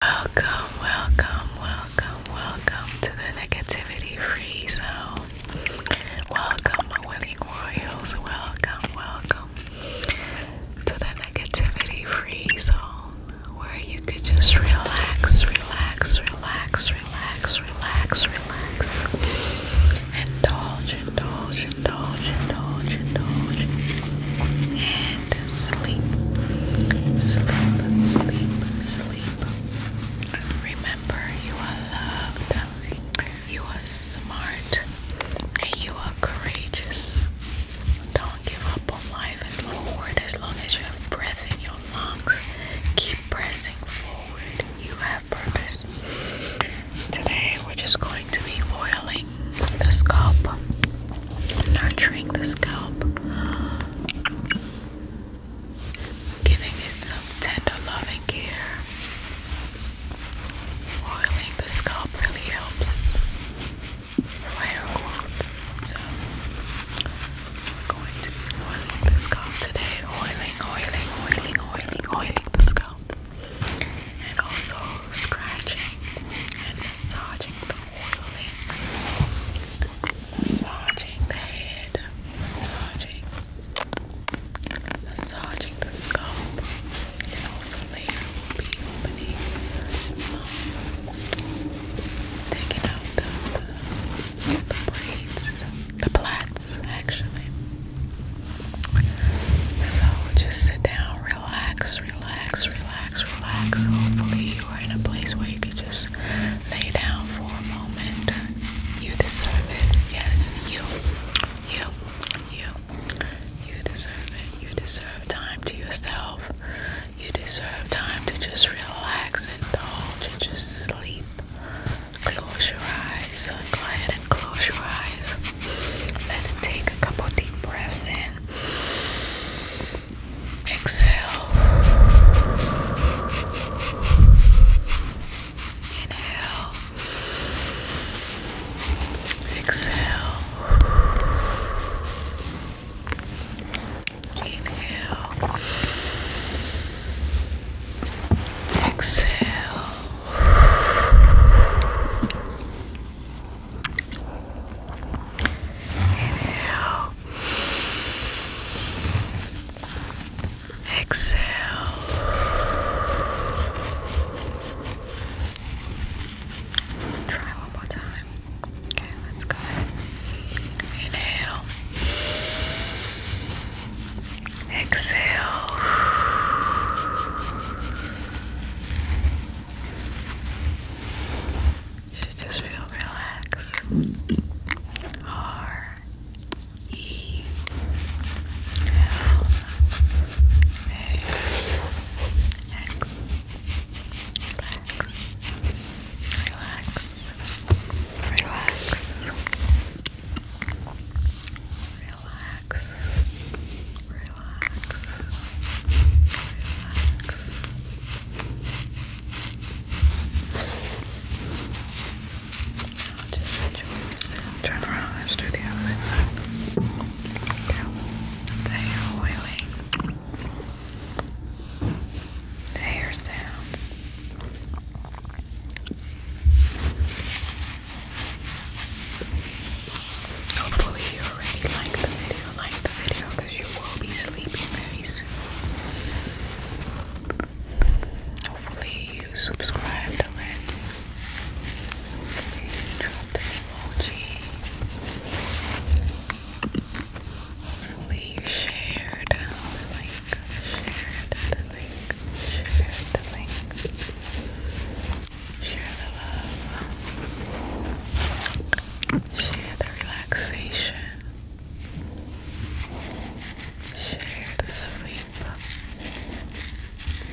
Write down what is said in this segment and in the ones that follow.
Welcome, welcome, welcome, welcome to the negativity free zone. Welcome, willing royals. Welcome, welcome to the negativity free zone where you could just relax, relax, relax, relax, relax, relax. Indulge, indulge, indulge, indulge, indulge sleep. Sleep, sleep, sleep. Remember, you are loved, you are smart, and you are courageous. Don't give up on life as long as you have breath in your lungs. Keep pressing forward. You have purpose. Today we're just going to be oiling the scalp, nurturing the scalp, giving it some tender loving care. Oiling the scalp really helps So we're going to be oiling the scalp today. Oiling, oiling, oiling, oiling, oiling the scalp. And also scratching and massaging the massaging the head, massaging, massaging the scalp, and also later be opening, um, taking out the, the, the the plaits actually. So just sit down, relax, relax, relax, relax. Hopefully, you are in a place where you can just lay down for a moment. You deserve it. Yes, you, you, you, you deserve it. You deserve time to yourself. You deserve time to just relax, indulge, and just sleep. Close your eyes. Go and close your eyes. Let's take a couple deep breaths in. Exhale. Inhale. Exhale. Inhale. Exhale. Inhale. Exhale. Try one more time. Okay, let's go. Inhale. Exhale. You should just feel relaxed. R E L A X. Relax. Relax. Relax. Relax relax, relax, relax. just enjoy this. Turn around, let's do the other one. The hair oiling. The hair sound. Hopefully you already liked the video, like the video because you will be sleeping very soon. Hopefully you subscribed already. Hopefully you dropped an emoji. Hopefully you shared the uh, link, shared the link, shared the link. Share the love. Share the relaxation. Share the sleep.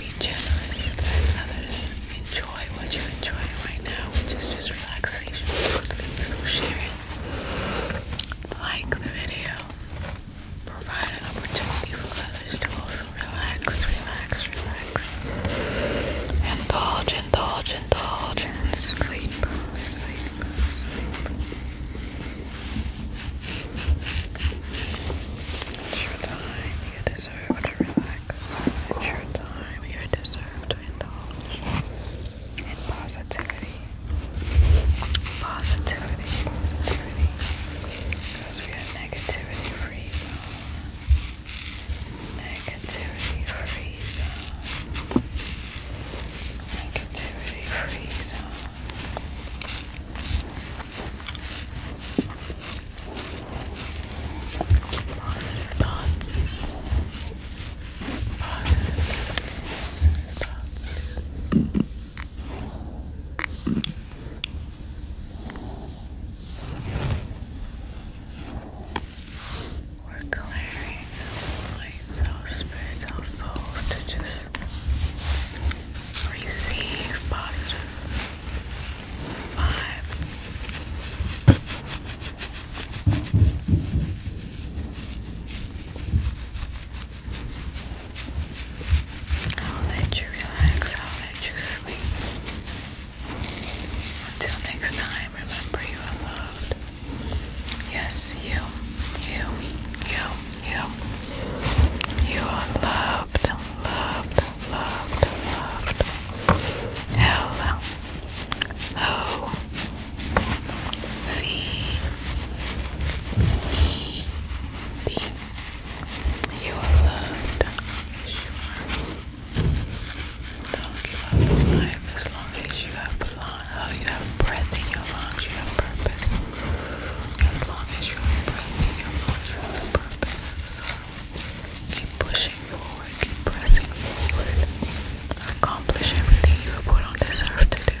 Be generous to others. Enjoy what you enjoy right now, which is just relaxation So share it. Like the video. Provide an opportunity for others to also relax, relax, relax, relax. Indulge, indulge, indulge, and sleep, sleep, sleep. It's your time, you deserve to relax. It's your time, you deserve to indulge in positivity. Positivity, positivity. Because we are negativity free zone. Negativity free Negativity free Positive thoughts. Positive thoughts. Positive thoughts. We're clearing our minds, our spirits, our souls to just receive positive vibes. I'll let you relax, I'll let you sleep. Until next time, remember you are loved. Yes, you, you, you, you. You are loved, loved, loved, loved. L O C E D you are loved. Sure. Don't give up as long as you have belong. Oh, you have breath in your lungs. You have purpose. As long as you have breath in your lungs, you have purpose. So keep pushing forward. Keep pressing forward. Accomplish everything you were put on this earth to do.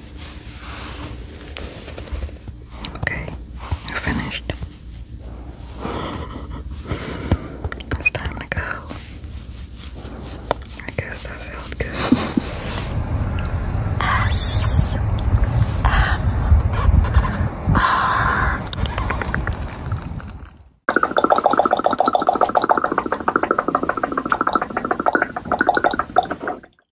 Okay, finished. It's time to go. I guess that felt good. S M R